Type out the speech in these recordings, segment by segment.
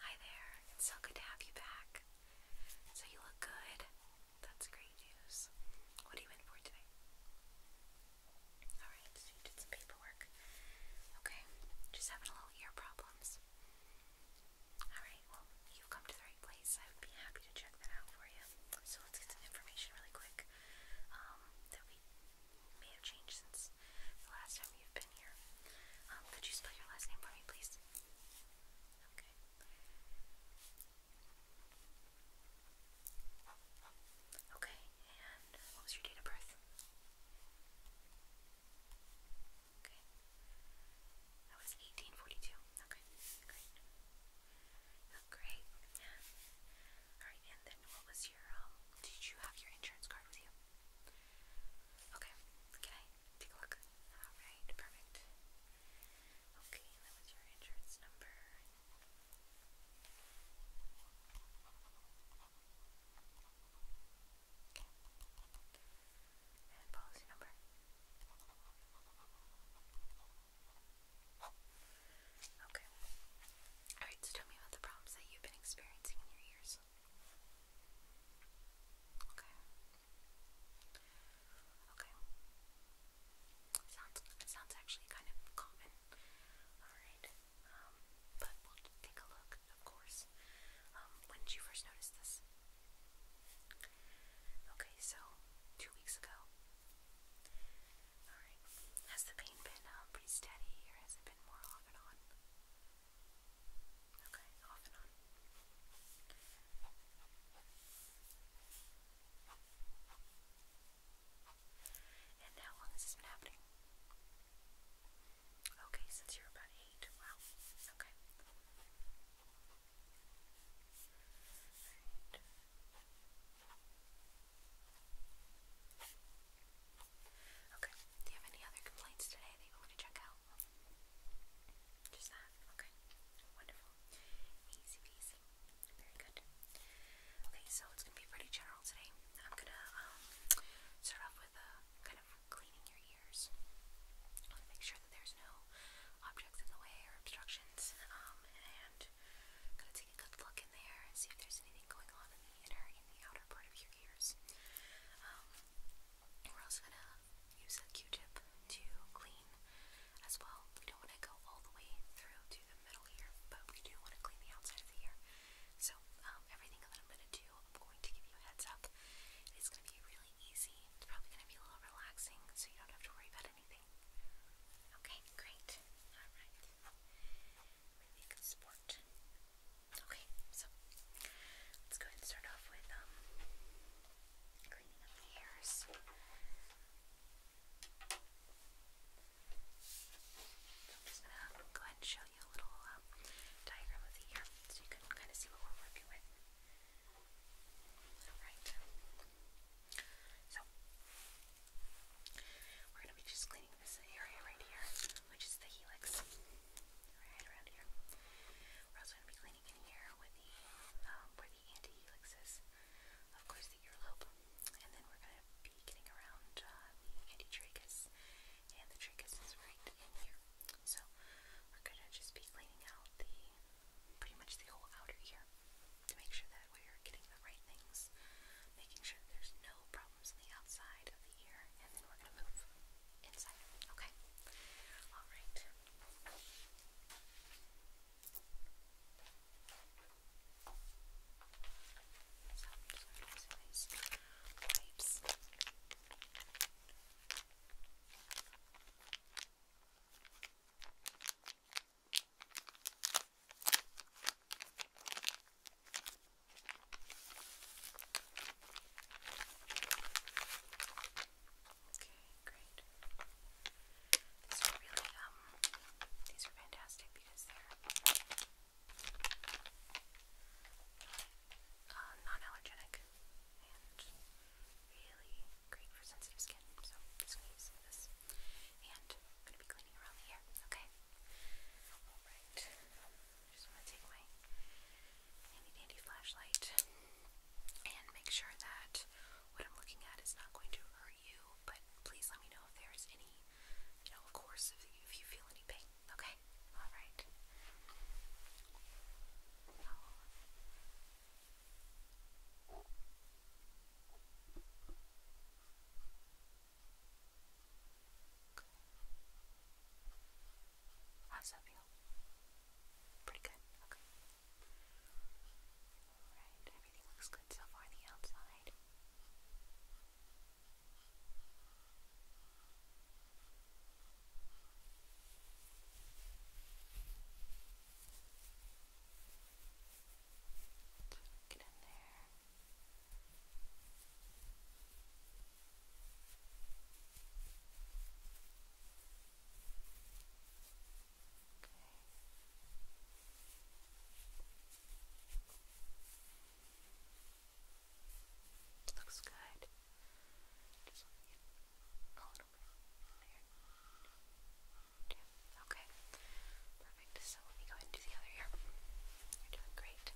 Hi there, it's so good to have you back. So you look good. That's great news. What are you in for today? Alright, so you did some paperwork. Okay, just having a little ear problems. Alright, well, you've come to the right place. I would be happy to check that out for you. So let's get some information really quick um, that we may have changed since the last time um, could you spell your last name for me, please? Okay. Okay, what was your date of birth? Okay. That was 1842. Okay, great. Yeah. Alright, and then what was your, um, did you have your insurance card with you? Okay, can take a look? Alright, perfect. Okay, that was your insurance number. Okay. policy number. Okay. Alright, so tell me about the problems that you've been experiencing in your ears. Okay. Okay. Sounds it sounds actually kind of common. Alright. Um, but we'll take a look, of course. Um, when did you first notice this? Okay, so two weeks ago. Alright. Has the pain been uh, pretty steady or has it been more off and on? Okay, off and on. And how long has this been happening? Okay, since you're about eight. Wow. Okay. Alright. Okay. Do you have any other complaints today that you want to check out? Just that? Okay. Wonderful. Easy peasy. Very good. Okay, so it's going to be pretty general today. I'm going to um, start off with uh, kind of cleaning your ears. I want to make sure that there's no objects in the way or obstructions. Um, and I'm going to take a good look in there and see if there's anything going on in in the outer part of your ears. Um, we're also going to use a Q-tip to clean as well. We don't want to go all the way through to the middle here, but we do want to clean the outside of the ear. So um, everything that I'm going to do, I'm going to give you a heads up. It's going to be really easy. It's probably going to be a little relaxing, so you don't have to worry about anything. Okay, great. All right. We make sport. Okay, so let's go ahead and start off with um cleaning up the hairs. I'm just gonna go ahead and show you a little um, diagram of the ear so you can kind of see what we're working with. Alright. So we're gonna be just this area right here, which is the helix, right around here. We're also going to be cleaning in here with the um, the anti of course the earlobe, and then we're going to be getting around uh, the antitrachus, and the trachus is right in here. So we're going to just be cleaning out the pretty much the whole outer ear to make sure that we're getting the right things, making sure that there's no problem the outside of the ear, and then we're going to move inside. Okay? Alright. wipes. Okay, great. These are really, um, these are fantastic because they're uh, non-allergenic and really great for sensitive skin. So I'm just gonna use this, and I'm gonna be cleaning around the Okay. All right just want to take my handy dandy flashlight and make sure that what I'm looking at is not going to hurt you. But please let me know if there is any, you know, of course, if if you feel any pain. Okay, all right. How does that feel? Pretty good. Okay. Alright, everything looks good so far the outside. Get in there. Okay. Looks good. Just a little bit there. Okay. Perfect. So let me go ahead and the other ear. You're doing great.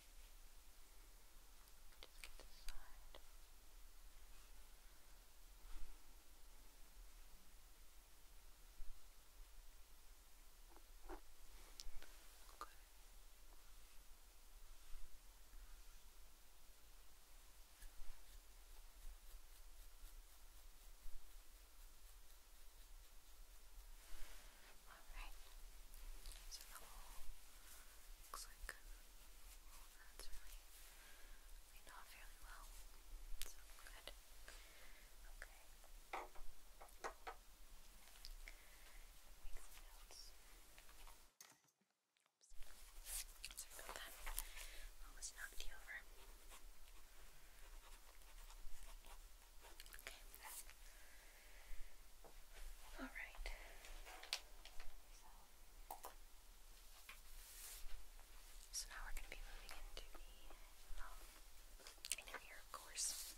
Just get Okay. All right. So that all looks like that's really, really not fairly well. So good. Okay. Oops. Sorry about that. Almost knocked you over. Okay. All right. So, now we're going to be moving into the um, of course.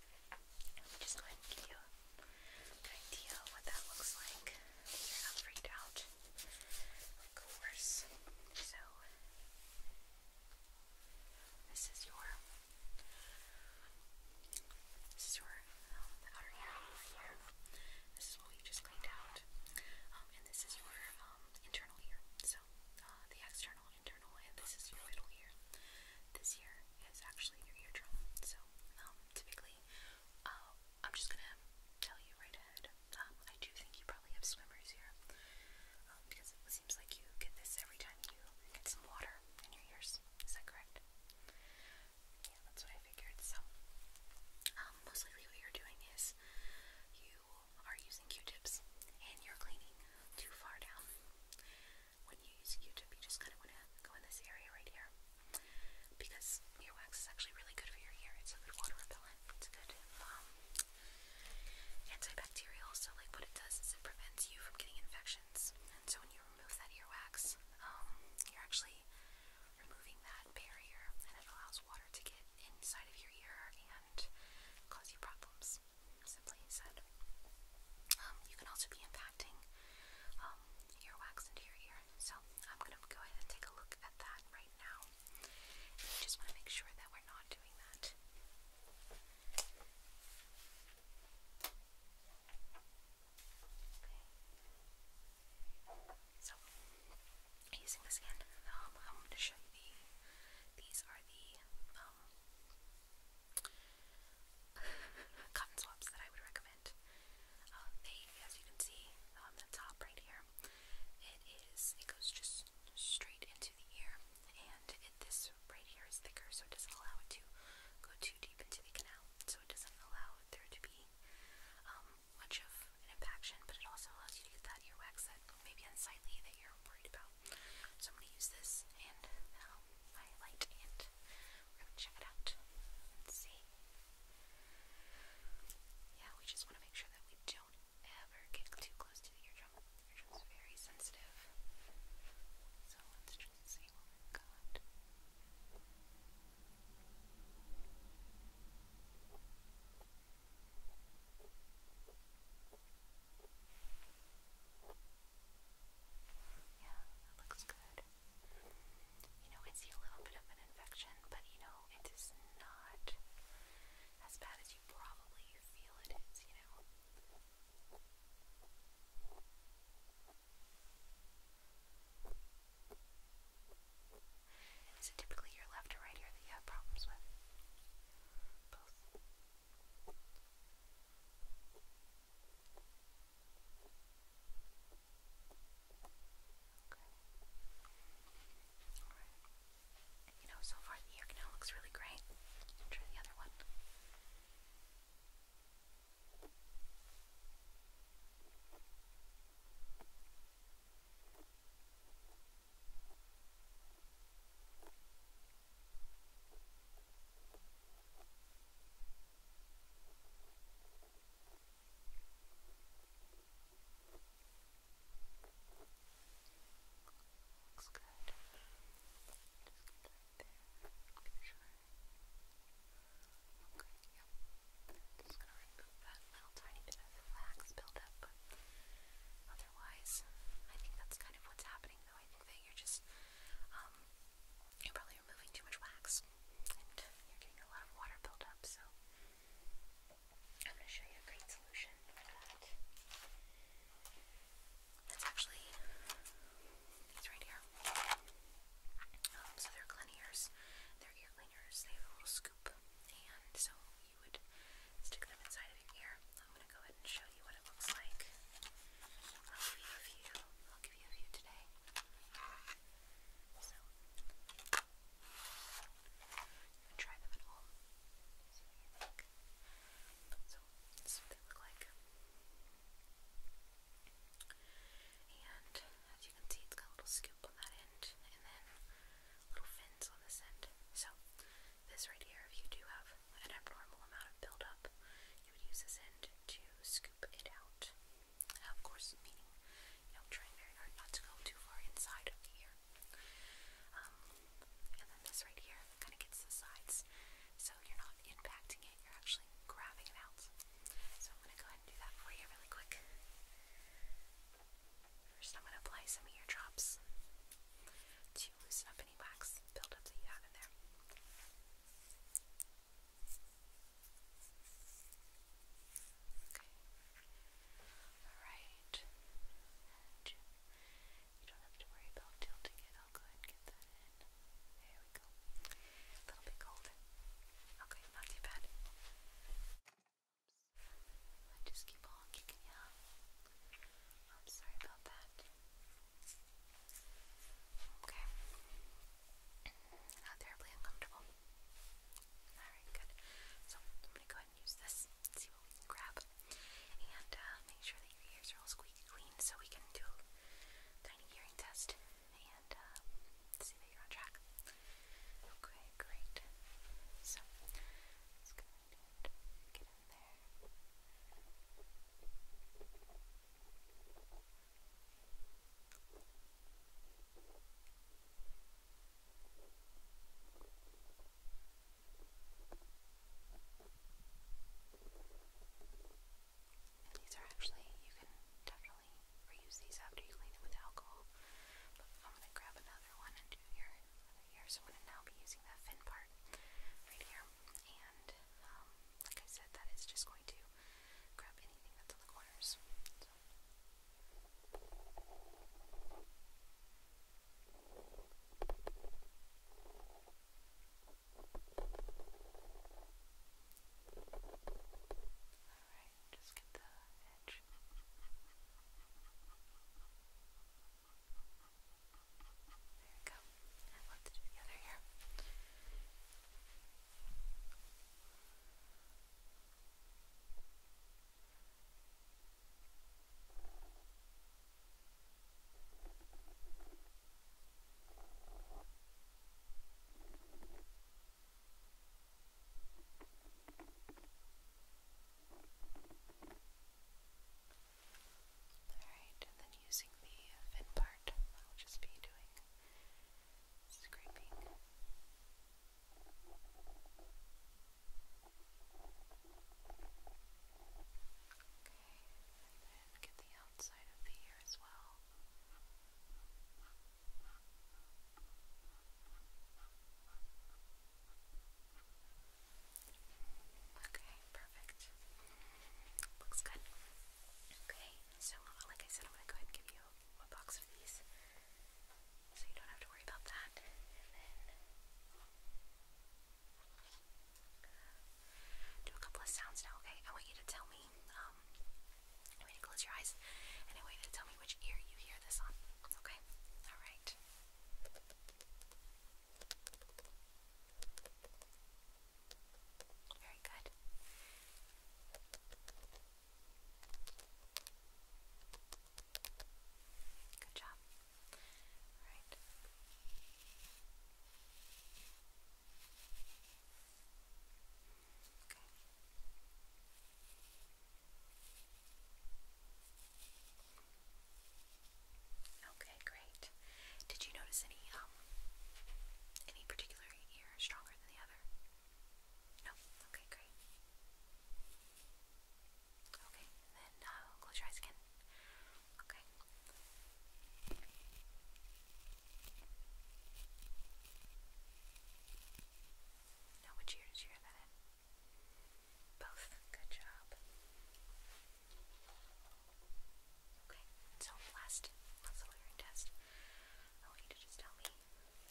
And let just go ahead and give you an idea what that looks like. You're not freaked out, of course. So, this is your this is your um, outer earring right here. This is what we just cleaned out. Um, and this is your um, internal ear. So uh, the external, internal, and this is your middle ear. This ear is actually your eardrum. So um, typically, uh, I'm just gonna tell you right ahead. Um, I do think you probably have swimmers here um, because it seems like you get this every time you get some water in your ears. Is that correct? yeah, that's what I figured. So, um, most likely what you're doing is you are using Q-tips and you're cleaning too far down. When you use a Q-tip, you just kind of want to go in this area right here because earwax is actually really good for your ear. It's a good water repellent. It's a good um, antibacterial. So, like, what it does is it prevents you from getting infections. And so, when you remove that earwax, um, you're actually removing that barrier and it allows water to get inside of your ear and cause you problems, simply said. Um, you can also be impacting um, earwax into your ear. So I'm going to go ahead and take a look at that right now. just want to make sure that we're not doing that. So, using this again, um, I'm going to show you These are the um, cotton swabs that I would recommend. Uh, they, as you can see, on the top right here, it is. It goes just straight into the ear, and this right here is thicker, so it doesn't allow it to go too deep into the canal so it doesn't allow there to be um, much of an impaction, but it also allows you to get that ear wax that may be unsightly that you're worried about. So I'm going to use this and um, my light, and we're going to check it out. Let's see. Yeah, we just want to make sure that we don't ever get too close to the eardrum. Eardrum's very sensitive. So let's Let's see what we've got. Yeah, that looks good. You know, I see a little bit of an infection, but you know, it is not as bad as you probably feel it is, you know. And is it typically your left or right ear that you have problems with? Both. Okay. Alright. You know, so far the ear canal looks really great. Try the other one. Okay. Looks good. Just right there. Be sure Okay, yep. Just gonna remove that little tiny bit of wax buildup, but otherwise, I think that's kind of what's happening though. I think you're just, you're probably removing too much wax and you're getting a lot of water buildup, so I'm gonna show you a great solution for that. That's actually, these right here so they're cleaners, they're ear cleaners, they have a little scoop, and so you would stick them inside of your ear. I'm going to go ahead and show you what it looks like. I'll give you a few, I'll give you a few today. So, try them at home. See what you they look like. And as you can see, it's got a little scoop on that end and then little fins on this end. So, this right here, if you do have an abnormal amount of buildup, you would use this end to scoop it out. Of course, meaning, you know, trying very hard not to go too far inside of here. Um, and then this right here kind of gets the sides, so you're not impacting it, you're actually grabbing it out. So I'm going to go ahead and do that for you really quick. First, I'm going to apply some eardrops to loosen up any wax buildup that you have in there. Okay. Alright. you don't have to worry about tilting it i go ahead get that in. There we go. A little bit cold. Okay, not too bad. I just keep on kicking you out. I'm sorry about that. Okay. Not terribly uncomfortable. Alright, good. So I'm gonna go ahead and use this, see what we can grab. And uh, make sure that your ears are all squeaky clean so we can do tiny hearing test and uh, see that you're on track. Okay, great. So, let's go ahead and get in there. Okay, these are actually, you can definitely reuse these after you clean them with alcohol. But I'm going to grab another one and do your other ear. So I'm going to now be using that fin part right here. And um, like I said, that is just going to grab anything that's in the corners. Alright, just get the edge. There we go. And let's do the other here. Okay, Alright, and then using the fin part, I'll just be doing scraping. Okay and then get the outside of the ear as well. Okay, perfect. Looks good. Okay, so like I said, I'm gonna go ahead and give you a box of these. So you don't have to worry about that do a couple of sounds now, okay? I want you to tell me, um, I want you to close your eyes, and I want you to tell me which ear you hear this on, okay? Alright. Very good. Good job. Alright. Okay, great. Did you notice any um any particular ear stronger than the other? No. Okay, great. Okay, then uh, close your eyes again. Okay. Now which ear did you hear that in? Both. Good job. Okay, so last muscle hearing test. I want you to just tell me.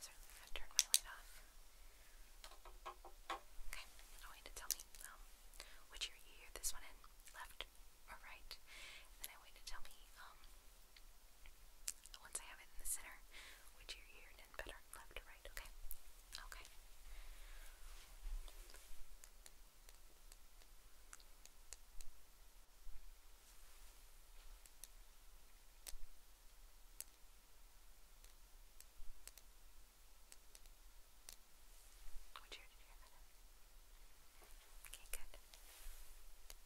Certainly, i my light off. Okay, I want you to tell me um, which ear you hear this one in. Left, or right. And then I wait to tell me, um, once I have it in the center, which ear you're in better, left or right, okay? Okay. Okay. Which ear did you have it in? Okay, good. Very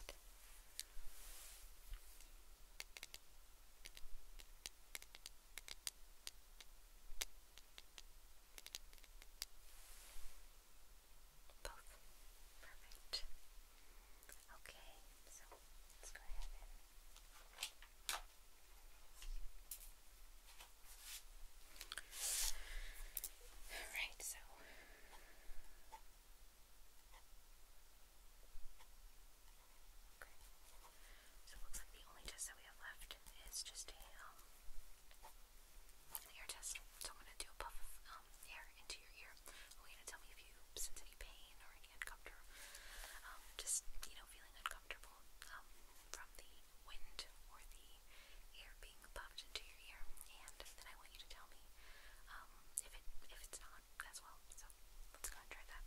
good. Both. Perfect. Okay, so let's go ahead and Alright, so So it looks like the only test that we have left is just a um test. So I'm gonna do a puff um, um, air into your ear. We're going to tell me if you sense any pain or any uncomfort, um, just, you know, feeling uncomfortable um, from the wind or the air being pumped into your ear. And then I want you to tell me um, if, it, if it's not as well. So let's go and try that.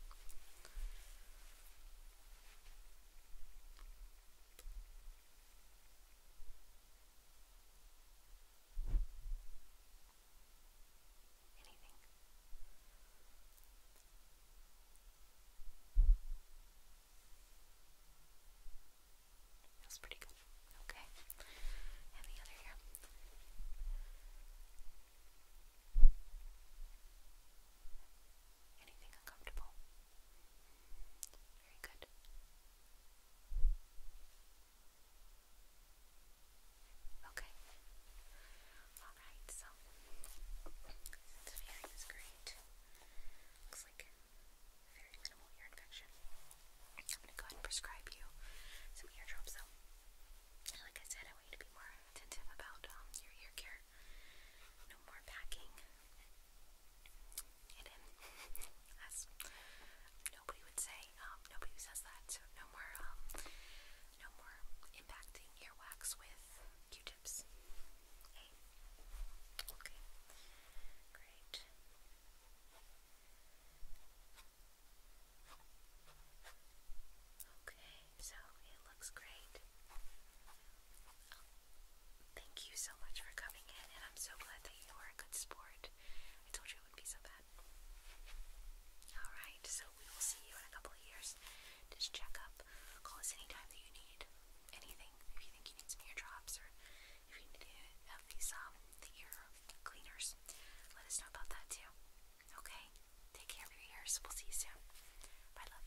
Anything. Feels pretty good. Okay. And the other ear. Anything uncomfortable? Very good. Okay. Alright, so this hearing is great. Looks like very minimal ear infection. I'm gonna go ahead and prescribe you some ear drops though. like I said, I want you to be more attentive about um, your ear care. No more packing it nobody would say, um, nobody says that, so no more, um, no more impacting earwax with Q-tips. Okay. Great. Okay, so it looks great. Thank you so much for coming in, and I'm so glad that you are a good sport. I told you it would not be so bad. Alright, so we will see you in a couple of years. Just check up. Call us anytime that you need anything. If you think you need some eardrops or if you need any of these um ear cleaners, let us know about that too. Okay? Take care of your ears. We'll see you soon. Bye love.